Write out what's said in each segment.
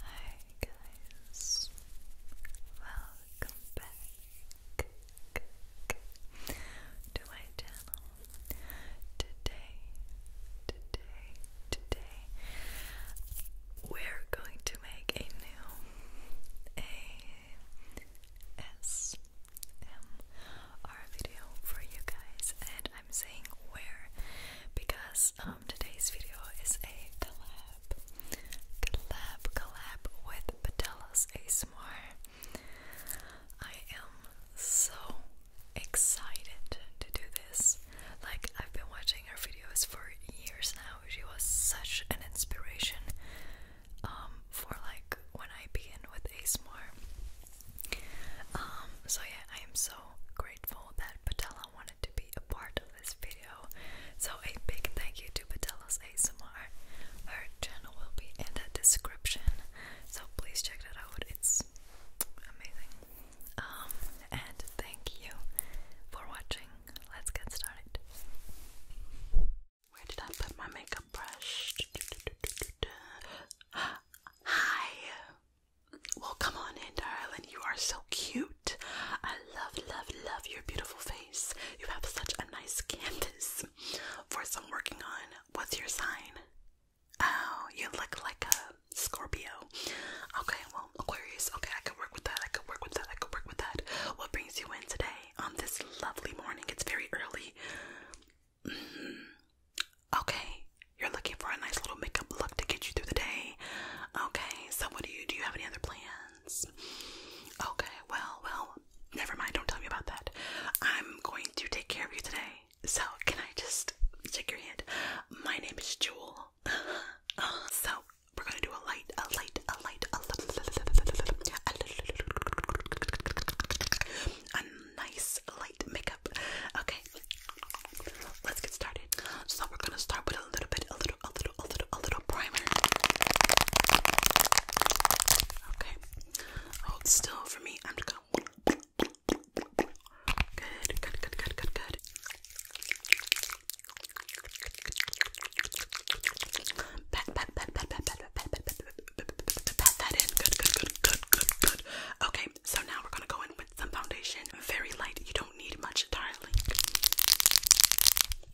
Hi guys, welcome back to my channel. Today, today, today, we're going to make a new ASMR ASMR video for you guys, and I'm saying where because um, today's video is a collab, collab, collab with Patella's ASMR. I am so excited to do this. Like, I've been watching her videos for years now. She was such an inspiration um, for like when I begin with ASMR. Um, so yeah, I am so grateful that Patella wanted to be a part of this video. So a big thank you to Patella's ASMR. Her channel will be in the description. So please check that out. It's amazing. Um, and thank you for watching. Let's get started. Where did I put my makeup brush? Hi. Well, come on in, darling. You are so cute. I love, love, love your beautiful face. You have such a nice canvas for some working on. What's your sign? Oh, you look like a Scorpio. Okay, well, Aquarius. Okay, I could work with that. I could work with that. I could work with that. What brings you in today on this lovely morning? It's very early. Okay, you're looking for a nice little makeup look to get you through the day. Okay, so what do you do? You have any other plans? Okay, well, well, never mind. Don't tell me about that. I'm going to take care of you today. So can I just shake your hand? My name is Jewel. Uh, so we're gonna do a light, a light, a light, a light, a nice makeup. Okay, let's get started. So we're gonna start with a little bit, a little, a little, a little, a little primer. Okay, hold still for me. I'm gonna. Good, good, good, good, good, good. Okay, so now we're gonna go in with some foundation. Very light. You don't need much, darling.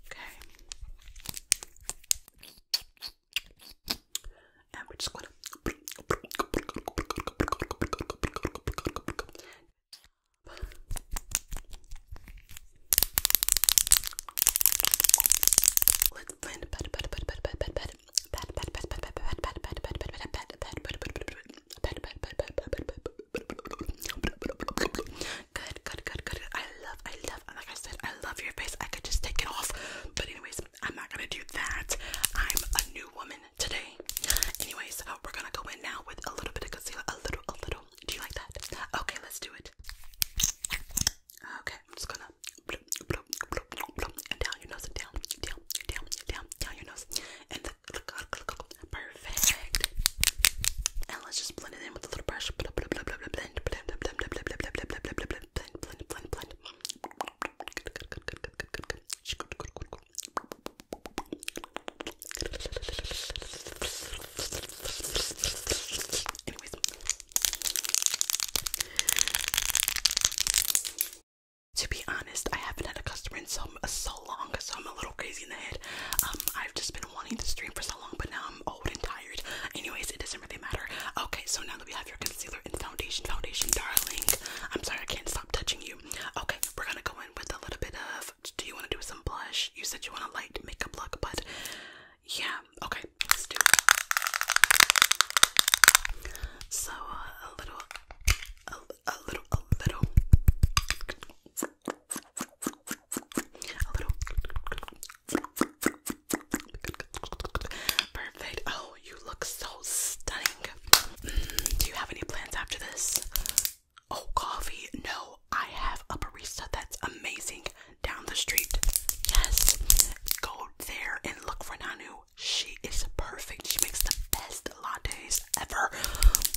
Okay. And we're just gonna pat, pat, pat, pat, pat, pat, pat, Good, good, good, good. I love, I love, like I said, I love your face. I could just take it off, but anyways, I'm not gonna do that. I'm a new woman today. Anyways, we're gonna go in now with a little bit of concealer, a little, a little. Do you like that? Okay, let's do it. Okay, I'm just gonna and down your nose, and down, down, down, down, down your nose, and perfect. And let's just blend it in with a little brush. Blend, blend, blend, blend, blend, blend, blend, blend, blend, blend, blend, blend. Anyways. To be honest, I haven't had a customer in so so long, so I'm a little crazy in the head. Um, I've just been wanting to stream for so long, but now I'm old and tired. Anyways, it doesn't really matter. Okay, so now that we have your concealer and foundation, foundation, darling. I'm sorry, I can't stop touching you. Okay, we're gonna go in with a little bit of. Do you want to do some blush? You said you want a light makeup look, but yeah. Okay, let's do. It. So uh, a little, a, a little, a little, a little. Perfect. Oh, you look so stunning. Mm, do you have any plans after this? Oh, coffee? No, I have a barista that's amazing down the street. Yes, go there and look for Nanu she is perfect. She makes the best lattes ever.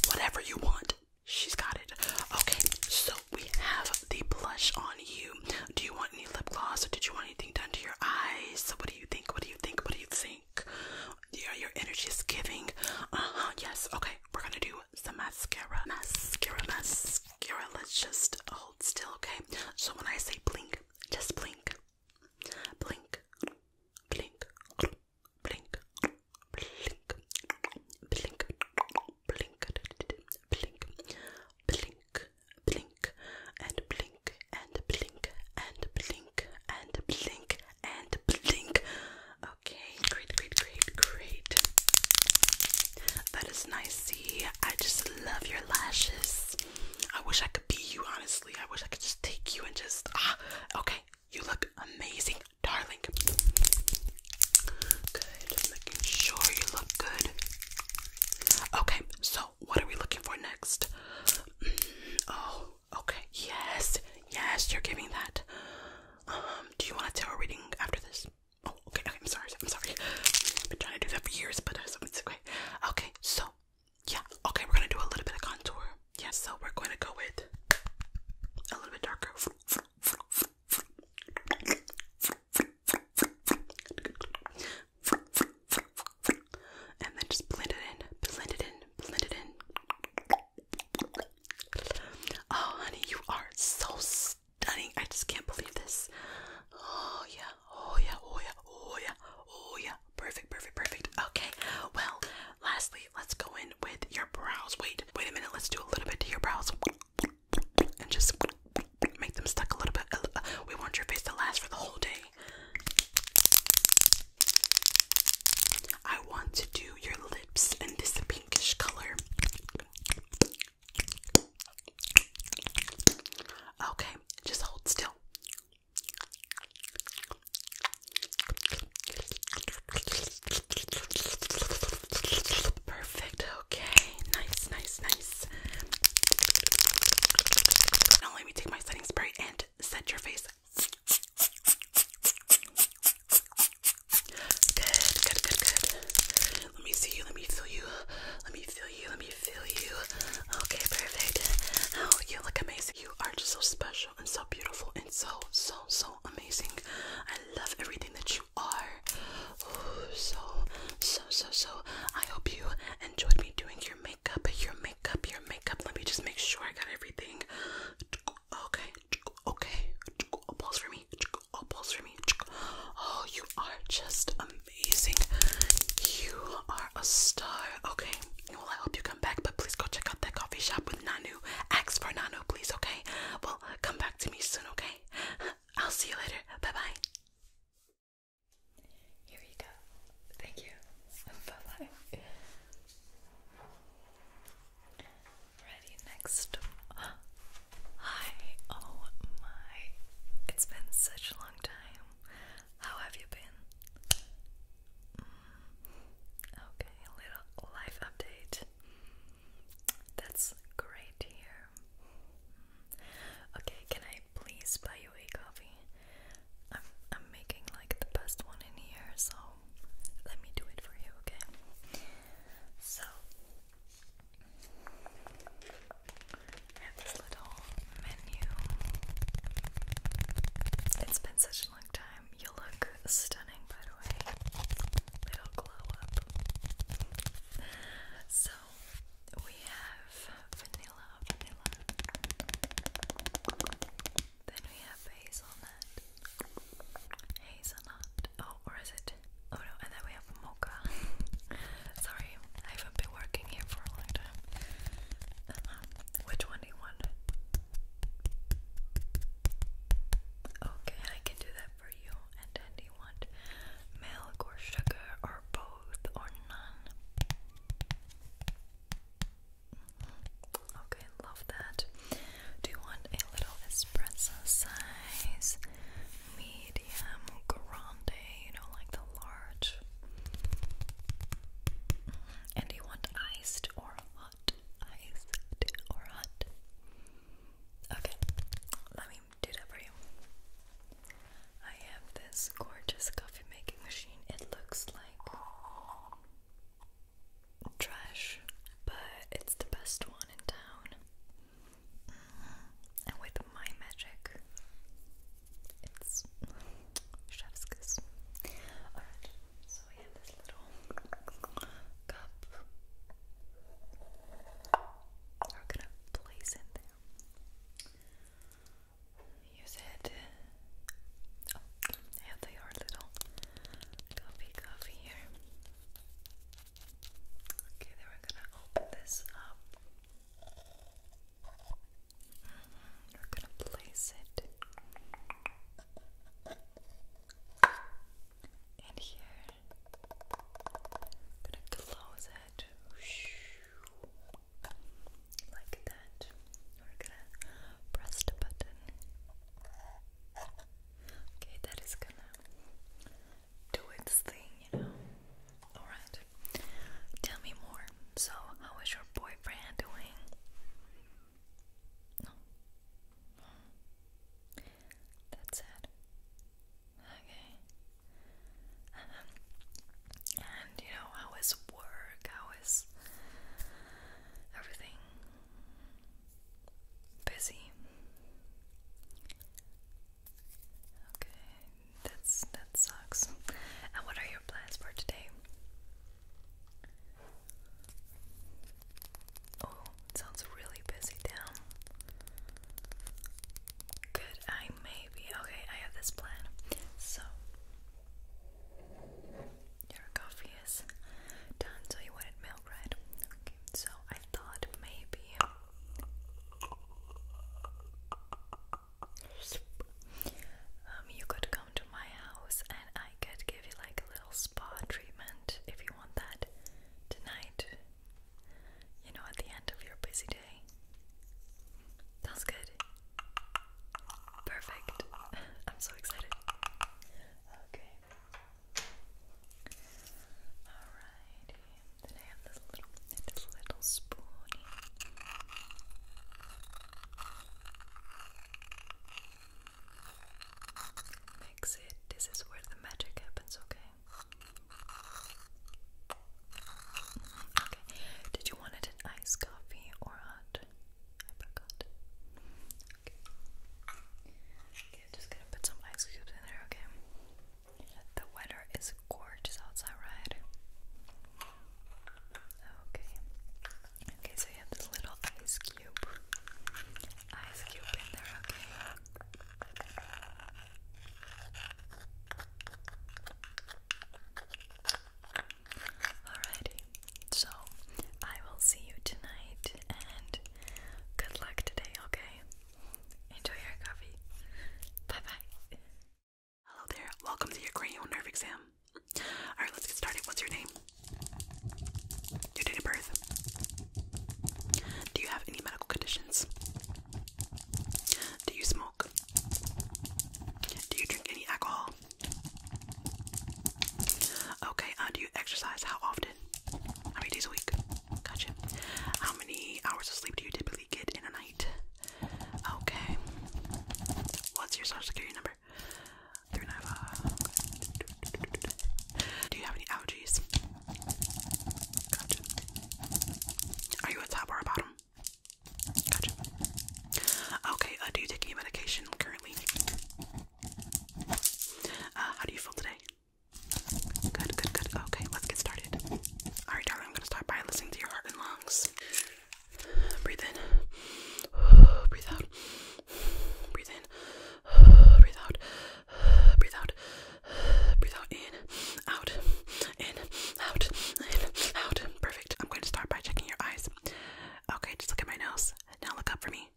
Whatever you want, she's got it. Okay, so we have the blush on you. Do you want any lip gloss or did you want anything done to your eyes? So what do you think? What do you think? What do you think? Yeah, your energy is giving. Uh-huh. Yes. Okay, we're gonna do some mascara. Mascara, mascara. Let's just hold still, okay? So when I say blink, just blink blink, blink, blink, blink, blink, blink, blink, blink, blink, and blink, and blink, and blink, and blink, and blink. Okay, great, great, great, great. That is nice. See, I just love your lashes. I wish I could be you, honestly. I wish I could just take you and just, ah, okay, you look amazing, darling. Good, making sure you look good. Okay, so what are we looking for next? Mm, oh, okay, yes, yes, you're giving that. Um, do you want a tarot reading after this? Oh, okay, okay, I'm sorry, I'm sorry. I've been trying to do that for years, but it's okay. Okay, so yeah, okay, we're gonna do a little bit of contour. Yeah, so we're going to go with a little bit darker. And then just blend it in, blend it in, blend it in. Oh, honey, you are so stunning. I just can't believe this. Oh, yeah oh yeah, oh yeah, oh yeah, oh yeah. Perfect, perfect, perfect. Okay, well, lastly, let's go in with your brows. Wait, wait a minute, let's do a little bit to your brows. And just make them stuck a little bit. Uh, we want your face to last for the whole day. I want to do your lips in this pinkish color. Okay, just hold still. Perfect. Okay. Nice, nice, nice. Now let me take my setting spray and set your face. Good, good, good, good. Let me see you. Let me feel you. Let me feel you. Let me feel you. Okay, perfect. Oh, you look amazing. You are just so special and so beautiful and so, so, so amazing. I love everything that you are. Oh, so, so, so, so. I hope you enjoyed me doing your makeup, your makeup, your makeup. Let me just make sure I got everything. Okay, okay. A pulse for me. A pulse for me. Oh, you are just amazing. You are a star. Okay. Well, I hope you come back, but please go check out that coffee shop with Nanu. Ask for Nanu, please, okay? Well, come back to me soon, okay? I'll see you later. Bye bye. Here you go. Thank you. Bye bye. Ready next. Hi. Oh my. It's been such a long time. How have you been? Mm, okay, a little life update. That's great to hear. Okay, can I please buy you a coffee? I'm I'm making like the best one in here, so let me do it for you, okay? So I have this little menu. It's been such a long time. You look stunning, by the way. Little glow up. So we have vanilla, vanilla. Then we have hazelnut. Hazelnut. Oh, or is it? Oh no, and then we have mocha. Sorry, I haven't been working here for a long time. Um, which one do you want? Okay, I can do that for you. And then do milk or sugar or both or none? Mm-hmm. Okay, love that. Do you want a little espresso size, medium, grande, you know, like the large. And you want iced or hot? Iced or hot? Okay, let me do that for you. I have this gorgeous coffee making machine. It looks like trash, but it's the best one in town. Mm-hmm. And with my magic, it's chef's Alright, so we have this little cup. We're gonna place it there. Use it. Oh, I have the little coffee cup here. Okay, then we're gonna open this up. We're going to place it in here. I'm going to close it like that. We're going to press the button. Okay, that is going to do its thing, you know. Alright. Tell me more. So, how is your boyfriend doing? No. no. That's it. Okay. Um, and you know, how is work? How is everything? Busy. Okay, that's that sucks. And what are your plans for today? Oh, sounds really busy down. Could I maybe okay, I have this plan. So your coffee is done, so you wanted milk, right? Okay, so I thought maybe um, you could come to my house and I could give you like a little spa treatment if you want that tonight. You know, at the end of your busy day. That's good. Perfect. I'm so excited. Okay. Alrighty and little spoony. Mix it. This is where the magic happens, okay? Okay. Did you want it in iced coffee or hot? I forgot. Okay. just gonna put some ice cubes in there, okay? The weather is gorgeous outside, right? Okay. Okay, so you have this little ice cube. Ice cube in there, okay. Alrighty. So I will see you tonight and good luck today, okay? Enjoy your coffee. Bye bye. Hello there. Welcome to your cranial nerve exam. Alright, let's get started. What's your name? Your date of birth? Do you have any medical conditions? Do you smoke? Do you drink any alcohol? Okay, uh, do you exercise? How often? How many days a week? Gotcha. How many hours of sleep do you typically get in a night? Okay. What's your social security number? Do you have any allergies? Are you a top or a bottom? Okay, uh, do you take any medication currently? Uh, how do you feel today? Good, good, good. Okay, let's get started. Alright, darling, I'm gonna start by listening to your heart and lungs. Breathe in. Breathe out. Breathe in. Breathe out. Breathe out. Breathe out. In. Out. In. Out. In. Out. Perfect. I'm going to start by checking your eyes. Okay, just look at my nose. Now look up for me.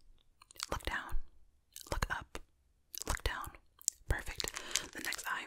Look down. Look up. Look down. Perfect. The next eye.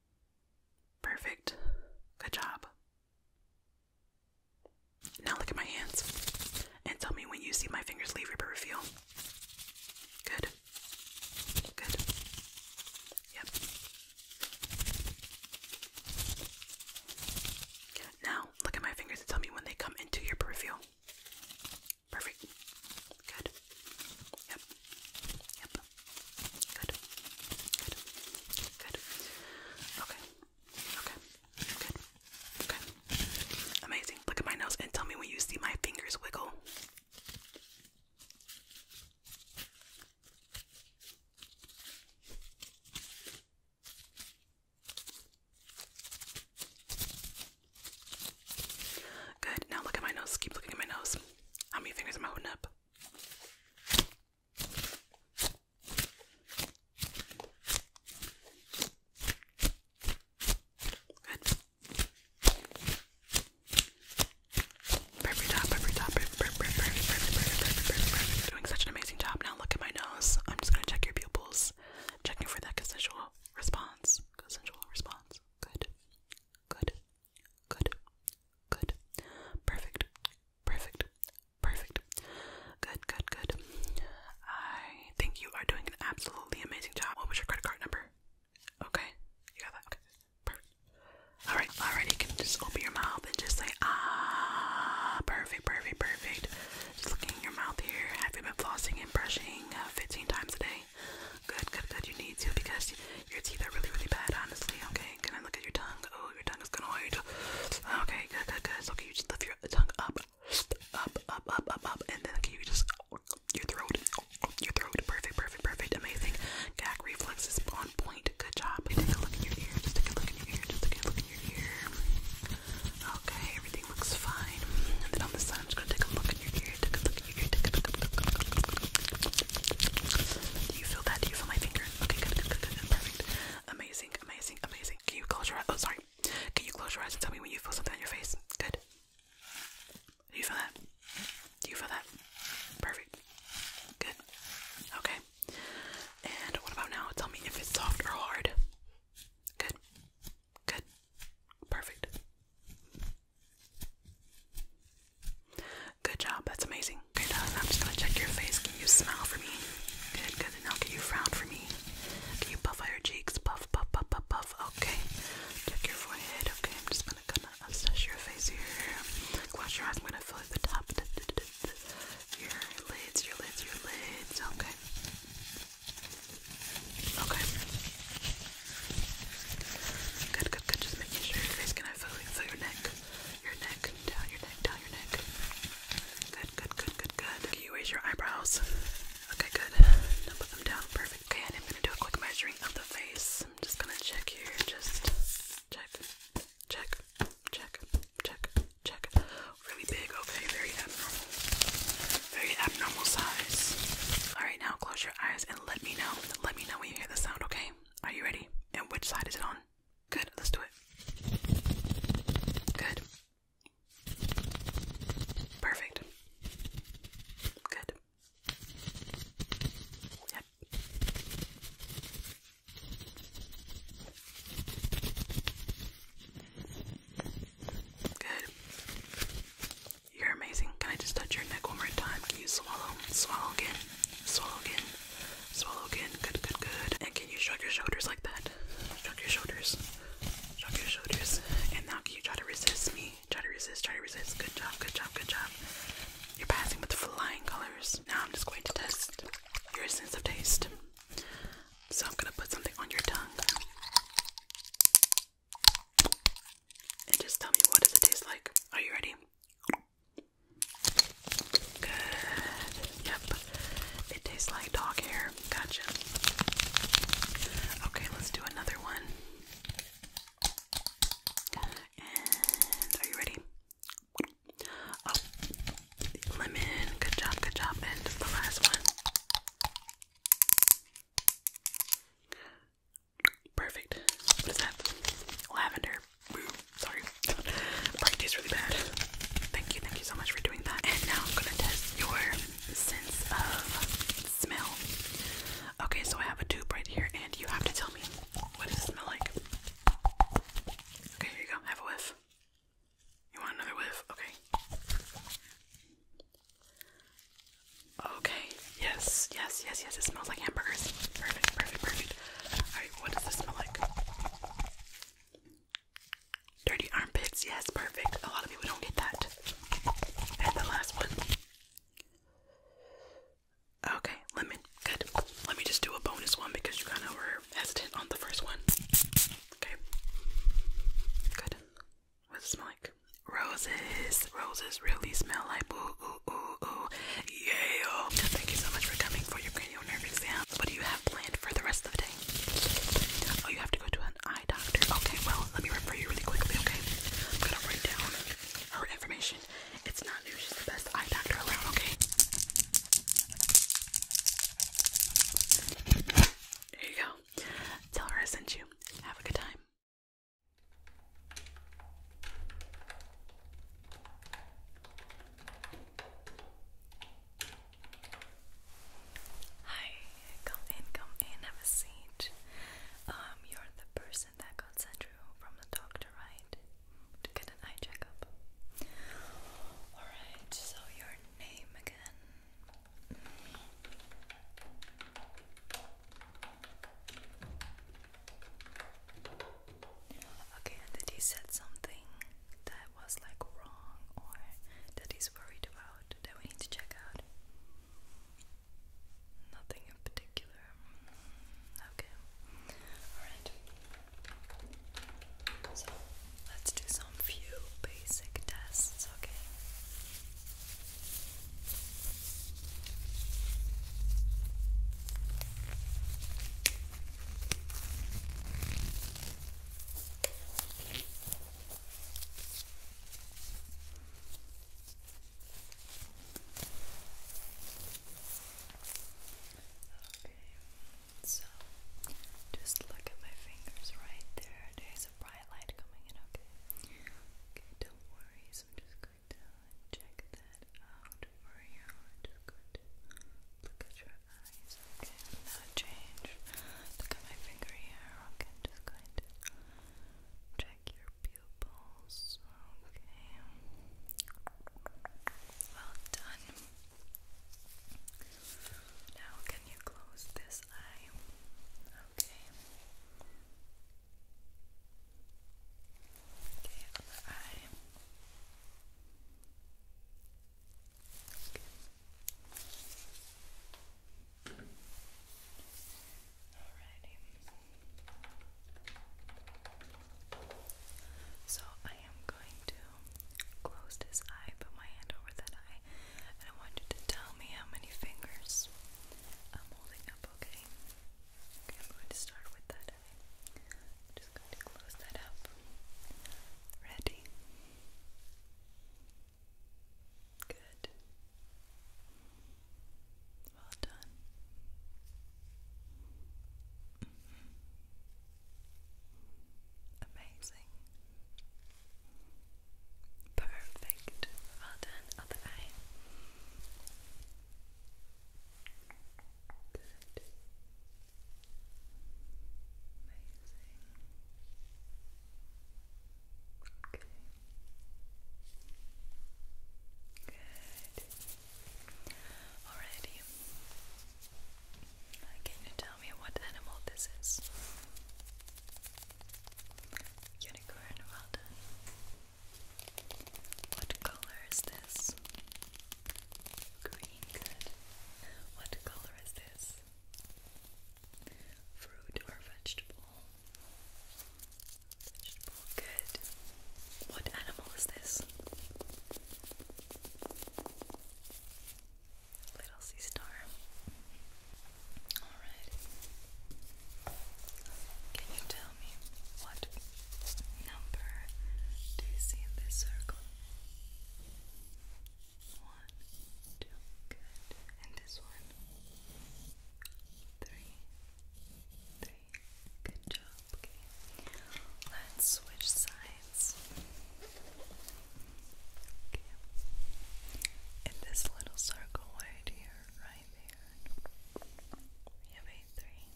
Perfect. Good job. Now look at my hands and tell me when you see my fingers leave your periphery. Good. Good. Yep. Now look at my fingers and tell me when they come into your peripheral. Perfect. Good. Yep. Yep. Good. Good. Good. Okay. Okay. Good. Okay. Amazing. Look at my nose and tell me when you see my fingers wiggle. Good. Now look at my nose. Keep looking at my nose. How many fingers am I holding up? Perfect job, perfect job, perfect, perfect, perfect, perfect, perfect, perfect, perfect, perfect, perfect. Doing such an amazing job. Now look at my nose. I'm just gonna check your pupils. Checking for that consensual response. Consensual response. Good. Good. Good. Good. Perfect. Perfect. Perfect. Good, good, good. I think you are doing an absolutely amazing job. What was your credit card number? Okay. You got that? Okay. Perfect. Alright, alright, you can just open your mouth and just say, ah, perfect, perfect, perfect. Just looking in your mouth here. Have you been flossing and brushing uh, 15 times a day? Good, good, good. You need to because your teeth are really, really bad, honestly, okay? Okay, can I look at your tongue? Oh, your tongue is gonna wait. Okay, good, good, good. So can you just lift your tongue up, up, up, up, up, up, and then can you just your throat, your throat. Perfect, perfect, perfect. Amazing. Gag reflex is on point. Good job. Take a look in your ear. Just take a look in your ear. Just take a look in your ear. Okay, everything looks fine. And then on the side, I'm just gonna take a look in your ear. Take a look in your ear. Take a look. Take a look. Do you feel that? Do you feel my finger? Okay, good, good, good, good, perfect. Amazing, amazing, amazing. Can you close your eyes? Oh, sorry. Can you close your eyes and tell me when you feel something on your face? Good. Do you feel that? Do you feel that? Perfect. Good. Okay. And what about now? Tell me if it's soft or hard. Good. Good. Perfect. Good job, that's amazing. Okay, darling, uh, I'm just gonna check your face. Can you smile for me? Good, good. And now can you frown for me? Can you puff out your cheeks? Puff, puff, puff, puff, puff. Okay. Check your forehead. Okay, I'm just gonna kinda assess your face here. Close your eyes. I'm gonna fill the top. Your lids, your lids, your lids. Okay. Okay. Good, good, good. Just making sure your face. Can I fill, fill your neck? neck, your neck, down your neck, down your neck. Good, good, good, good, good. Can you raise your eyebrows? Okay, good. Now put them down. Perfect. Okay, and I'm gonna do a quick measuring of the face. I'm just gonna check here. Just check, check, check, check, check. Really big. Okay, very abnormal. Very abnormal size. All right, now close your eyes and let me know. Let me know when you hear the sound. Okay. Are you ready? And which side is it on? Good, let's do it. Good. Perfect. Good. Yep. Good. You're amazing. Can I just touch your neck one more time? Can you swallow? Swallow again. Swallow again. Swallow again. Good, good, good. And can you shrug your shoulders like that? Shrug your shoulders. Shrug your shoulders. And now can you try to resist me? Try to resist, try to resist. Good job, good job, good job. You're passing with flying colors. Now I'm just going to test your sense of taste. So I'm gonna put something on your tongue. And just tell me what does it taste like? Are you ready? Good. Yep. It tastes like dog hair. Gotcha. Okay, let's do another one. And are you ready? Oh, lemon. Good job, good job. And the last one. Perfect. What is that? Lavender. Ooh, sorry. Probably tastes really bad. Thank you, thank you so much for doing that. now I'm gonna test your sense of smell. Okay, so I have a tube right here, and you have to tell me what it smell like. Okay, here you go. Have a whiff. You want another whiff? Okay. Okay. Yes, yes, yes, yes. It smells like hamburgers. Perfect, perfect, perfect. Alright, what does this smell like? Dirty armpits, yes, perfect. A lot of people don't get that. And the last one. Okay, lemon. Good. Let me just do a bonus one because you kind of were hesitant on the first one. Okay. Good. What does it smell like? Roses. Roses really smell like ooh, ooh, ooh, ooh. Thank you so much for coming for your cranial nerve exam. What do you have planned for the rest of the day? Oh, you have to go to an eye doctor. Okay, well, let me refer you really quickly, okay? I'm gonna write down her information. It's not new, the best eye doctor around, okay? There you go. Tell her I sent you. Have a good time. Hi, come in, come in, have a seat. Um, you're the person that got sent through from the doctor, right? To get an eye checkup. Alright, so your name again. Okay, and did he said something that was like wrong or that he's worried about that we need to check out? Nothing in particular. Okay. Alright. So let's do some few basic tests, okay? so just look at my fingers right there. There's a bright light coming in, okay? Okay, don't worry, I'm just going check that out for you. just going look at your eyes. Okay, i change. Look at my finger here. Okay, just going check your pupils. Okay. Well done. Now can you close this eye? Okay. Okay, other eye. Okay. Alrighty. So I am going to close this eye, put my hand over that eye, and I want you to tell me how many fingers I'm holding up, okay? Okay, I'm going to start with that that away. just going to close that up. Ready? Good. Well done. Amazing. Perfect. Well done. Other eye. Good. Amazing. Okay. Good. Alrighty. Can you tell me what animal this is? Unicorn, well what color is this? Green, good. What color is this? Fruit or vegetable? Vegetable, good. What animal is this? Little sea star. Alright. Can you what number do you see in this circle? One, two, good. And this one? Good job. Okay. Let's switch sides. Okay. In this little circle right here, right there, we have a three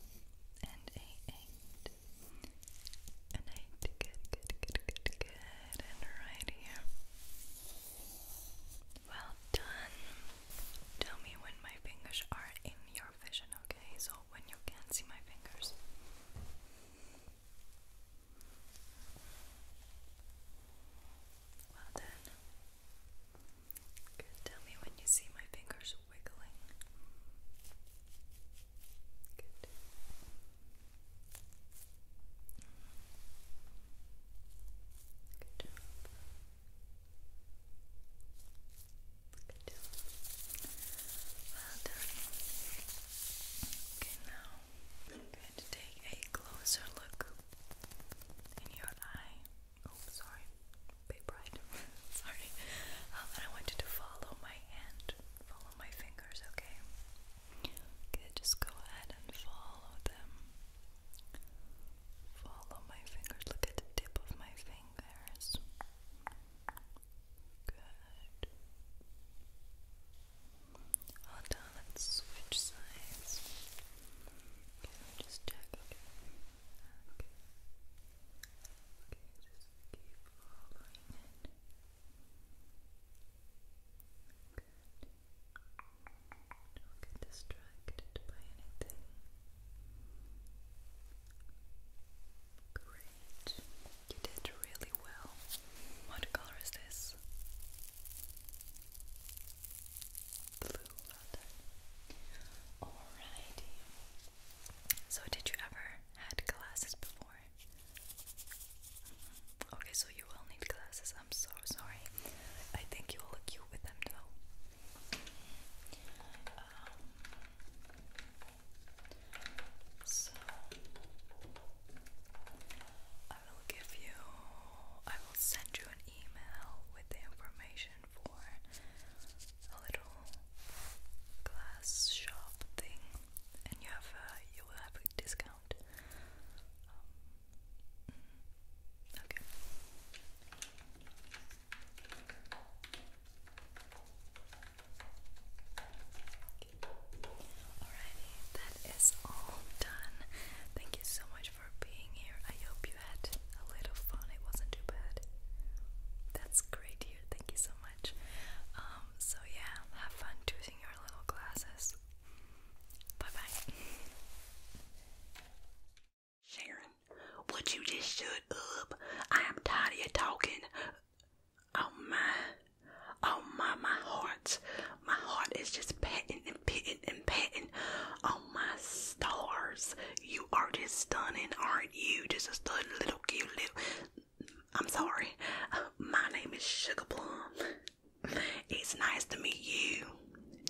and a eight, and eight. Good, good, good, good, good. And right here. Well done. Tell me when my fingers are in your vision, okay? So when you can't see my fingers. Well done. Good. Tell me when you see my fingers wiggling. Good. job. Good job. Well done. Okay, now I'm going to take a closer look in your eye. Oh, sorry, big bright. sorry. Um, and I want to follow my hand, follow my fingers, okay? Okay, just go ahead and follow them. Follow my fingers. Look at the tip of my fingers. Good. Well done. Let's switch sides. Okay, just check. Okay. Okay. Okay, just keep following it. Good. Don't get distracted by anything. Great. You did really well. What color is this? Blue, Alrighty. So, did you ever had glasses before? Mm-hmm. Okay, so you will need glasses. I'm so sorry. I think you will look cute with them though. Um, so I will give you. I will send you an email with the information for a little glass shop thing, and you have a, uh, you will have a discount. Um, okay. Alrighty, that is all done. Thank you so much for being here. I hope you had a little fun. It wasn't too bad. That's great, dear. Thank you so much. Um, so, yeah, have fun choosing your little glasses. Bye bye. Sharon, would you just shut up? I am tired of talking. Oh my, oh my, my heart. My heart is just patting and pitting and patting. Oh my stars. You are just stunning, aren't you. Just a stunning little cute little. I'm sorry. My name is Sugar Plum. It's nice to meet you.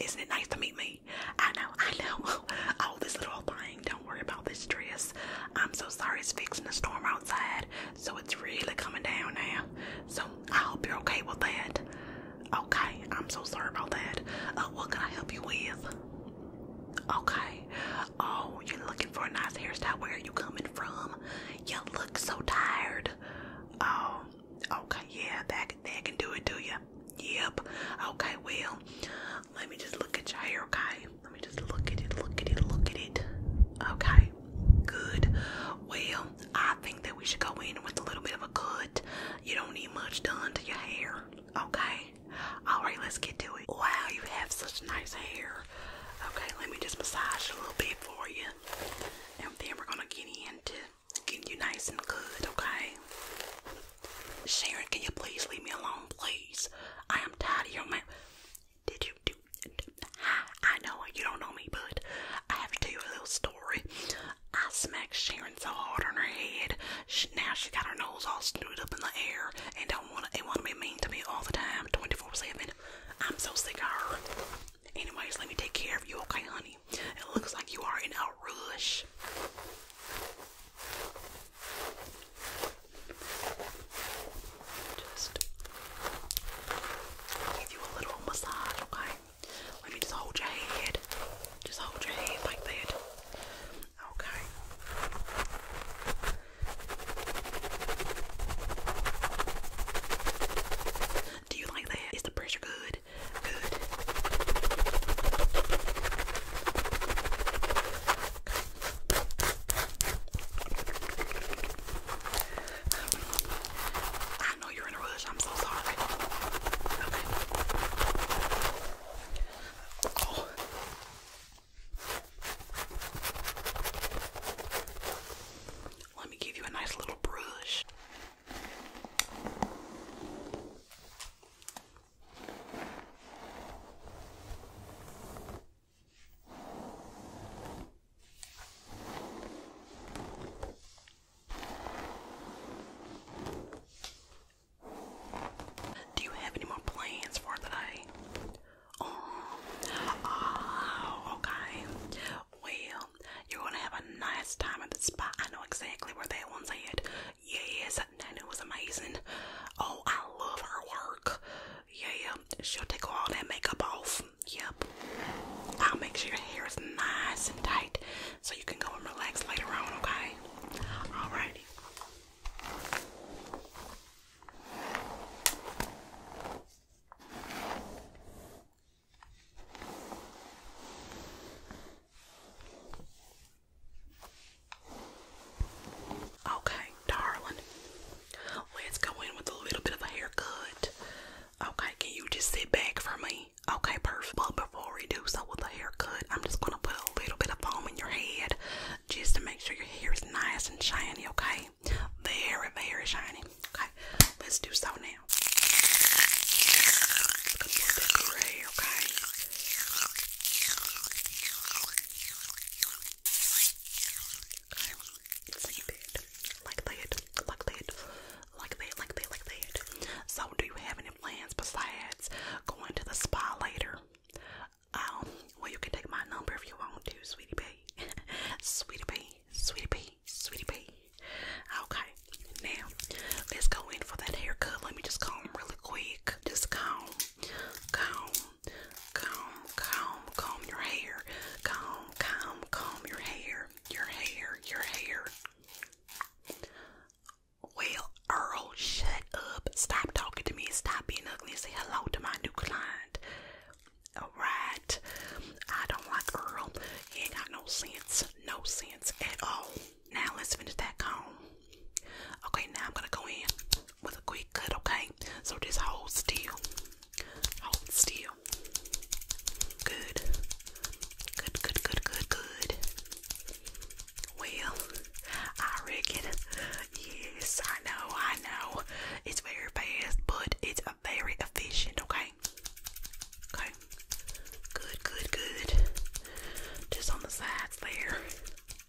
Isn't it nice to meet me? I know, I know. Oh, this little thing. Don't worry about this dress. I'm so sorry it's fixing a storm outside, so it's really coming down now. So I hope you're okay with that. Okay, I'm so sorry about that. Uh, what can I help you with? Okay, Oh, you're looking for a nice hairstyle. Where are you coming from? You look so tired. Oh, okay, yeah, that, that can do it, do you? Yep. Okay, well, let me just look at your hair, okay? Let me just look at it, look at it, look at it. Okay, good. Well, I think that we should go in with a little bit of a cut. You don't need much done to your hair, okay? Alright, let's get to it. Wow, you have such nice hair. Okay, let me just massage a little bit for you. And then we're gonna get into getting you nice and good, okay? Sharon, can you please leave me alone, please? I am tired of your mouth. Did you do I know you don't know me, but I have to tell you a little story. I smacked Sharon so hard on her head now she got her nose all screwed up in the air and don't want to, want to be mean to me all the time, 24/7. I'm so sick of her. Anyways, let me take care of you, okay, honey? It looks like you are in a rush. Just give you a little massage, okay? Let me just hold your head. Just hold your head like that. Okay. Do you like that? Is the pressure good? Good. I know you're in a rush. I'm so sorry. Okay. Oh. Let me give you a nice little brush. Do you have any more plans for the Oh, oh okay. Well, you're gonna have a nice time at the spa. I know exactly where that one's at. Yes, Nana was amazing. Oh, I love her work. Yeah, she'll take all that makeup off. Yep. I'll make sure your hair is nice and tight so you can go and relax later on, okay? Alrighty. Okay, darling. Let's go in with a little bit of a haircut. Okay, can you just sit back for me? Okay, perfect. But before we do so with the haircut, I'm just gonna put a little bit of foam in your head just to make sure your hair is nice and shiny, okay? Very, very shiny. Okay, let's do so now. okay? Okay, save Like that, like that, like that, like that, like that. So, do you have any plans besides going to the spa later? Um, well, you can take my number if you want to, sweetie pie. sweetie pie, sweetie pie, sweetie pie. Okay, now let's go in for that haircut. Let me just comb really quick. Just comb, comb, comb, comb, comb your hair. Comb, comb, comb your hair, your hair, your hair. Well, Earl, shut up. Stop talking to me. Stop being ugly and say hello to my new client. Alright. I don't like Earl. He ain't got no sense. No sense at all. Now let's finish that comb. Okay, now I'm gonna go in with a quick cut, okay? So just hold still. Hold still. Good. Good, good, good, good, good. Well, I reckon. Yes, I know, I know. It's very fast, but it's very efficient, okay? Okay. Good, good, good. Just on the sides there.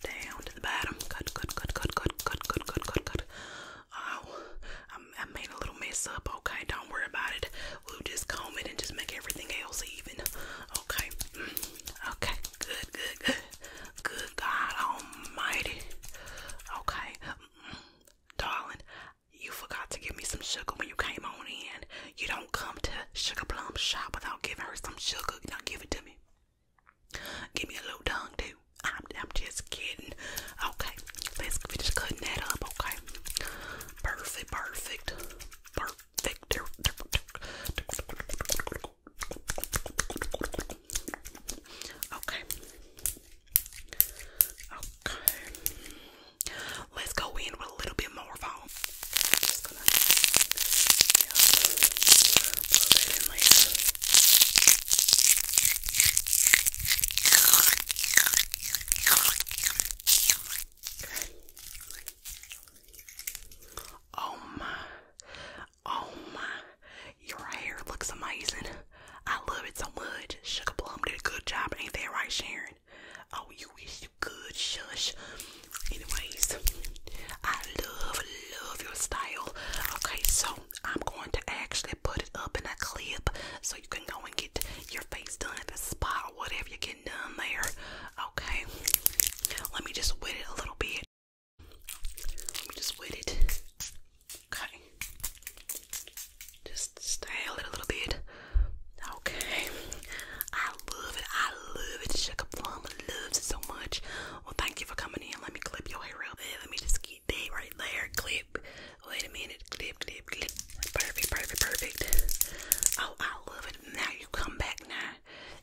Down to the bottom. Good, good, good, good, good, good, good, good, good, Oh, I made a little mess up, okay? Don't worry about it. We'll just comb it and just make everything else even. Okay. Mm. Okay. Good, good, good. Good God Almighty. Okay, mm, darling, you forgot to give me some sugar when you came on in. You don't come to Sugar Plum Shop without giving her some sugar. Now give it to me. Give me a little tongue too. I'm, just kidding. Okay, let's finish cutting that up. Okay, perfect, perfect, perfect. Okay. Okay. Let's go in with a little bit more foam. Oh my. Oh my, your hair looks amazing. I love it so much. Sugar Plum did a good job, ain't that right, Sharon? Oh, you wish you could, shush. Anyways, I love, love your style. Okay, so I'm going to actually put it up in a clip so you can go and get your face done at the spot or whatever you're done there. Okay, let me just wait it a little bit. Let me just wet it. Okay. Just style it a little bit. Okay. I love it. I love it. Sugar Plum loves it so much. Well, thank you for coming in. Let me clip your hair real bit. Let me just get that right there. Clip. Wait a minute. Clip, clip, clip. Perfect, perfect, perfect. Oh, I love it. Now you come back now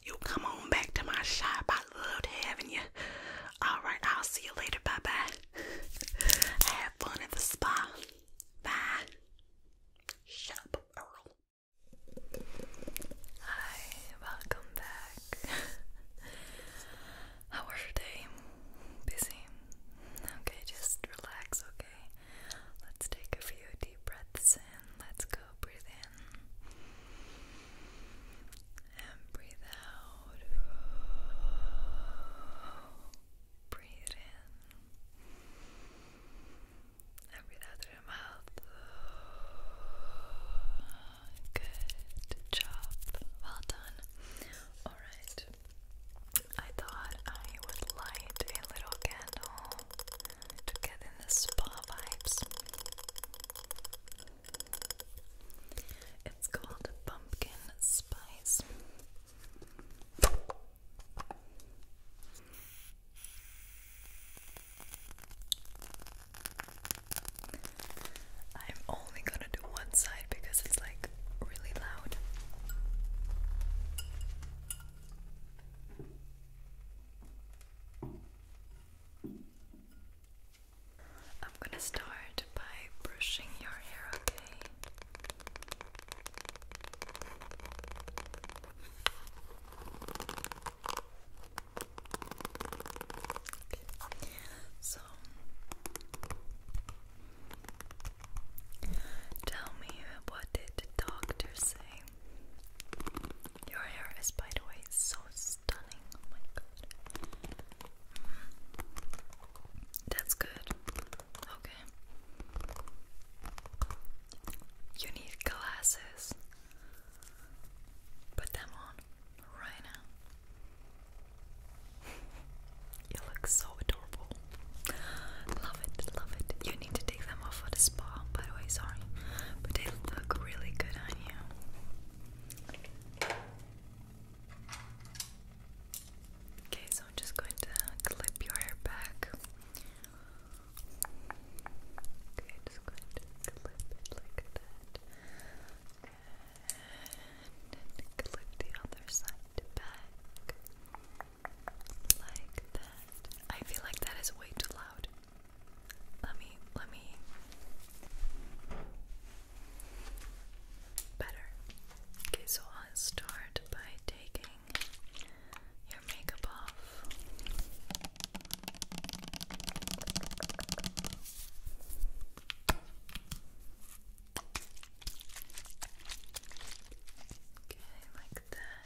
you come on back to my shop. I loved having you. All right, I'll see you later. Bye bye. Have fun at the spa. Bye. Shut up, Earl. Hi, welcome back. How was your day? Busy? Okay, just relax, okay? Let's take a few deep breaths. Let's go. Breathe in. And breathe out. Breathe in. And breathe out through your mouth. Good job. Well done. Alright. I thought I would light a little candle to get in the spa vibes. It's called pumpkin spice. I'm only gonna do one side because it's like really loud. I'm gonna start by brushing your hair, okay? So tell me what did the doctor say? Your hair is by the way so Oh mm. That's good. Okay. You need glasses. Put them on right now. You look so adorable. Love it, love it. You need to take them off for the spa, by the way, sorry. But they look really good Okay, so I'm just going to clip your hair back. Okay, just going to clip it like that. And clip the other side back. Like that. I feel like that is way too loud. Let me, let me. Better. Okay, so I'll start by taking your makeup off. Okay, like that.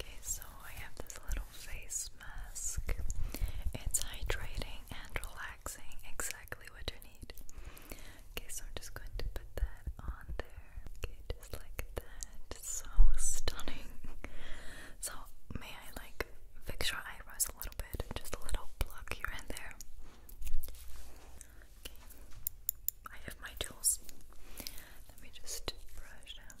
Okay, so I have this little face mask. It's hydrating and relaxing, exactly what you need. Okay, so I'm just going to put that on there. Okay, like that. So stunning. So, may I like fix your eyebrows a little bit? Just a little pluck here and there. Okay, I have my tools. Let me just brush them.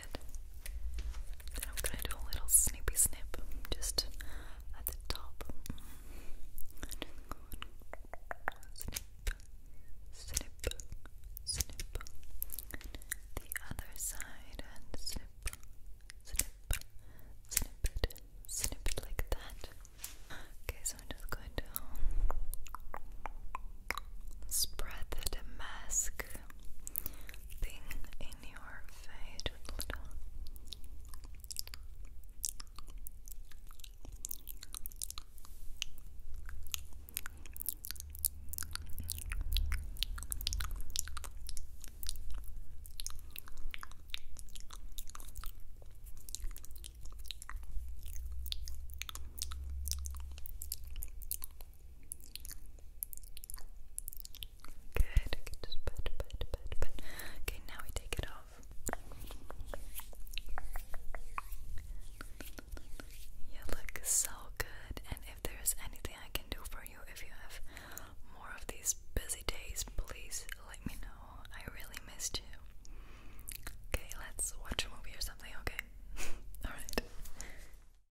I'm gonna do a little snippy snip just at the top. Snip, snip, snip. The other side and snip, snip, snip it, snip it like that. Okay, so I'm just going to spread the mask like thing in your face. little. Good. Okay, just pat, pat, pat, Okay, now we take it off. You look so good, and if there's anything I can do for you, if you have more of these busy days, please let me know. I really missed you. Okay, let's watch a movie or something, okay? Alright.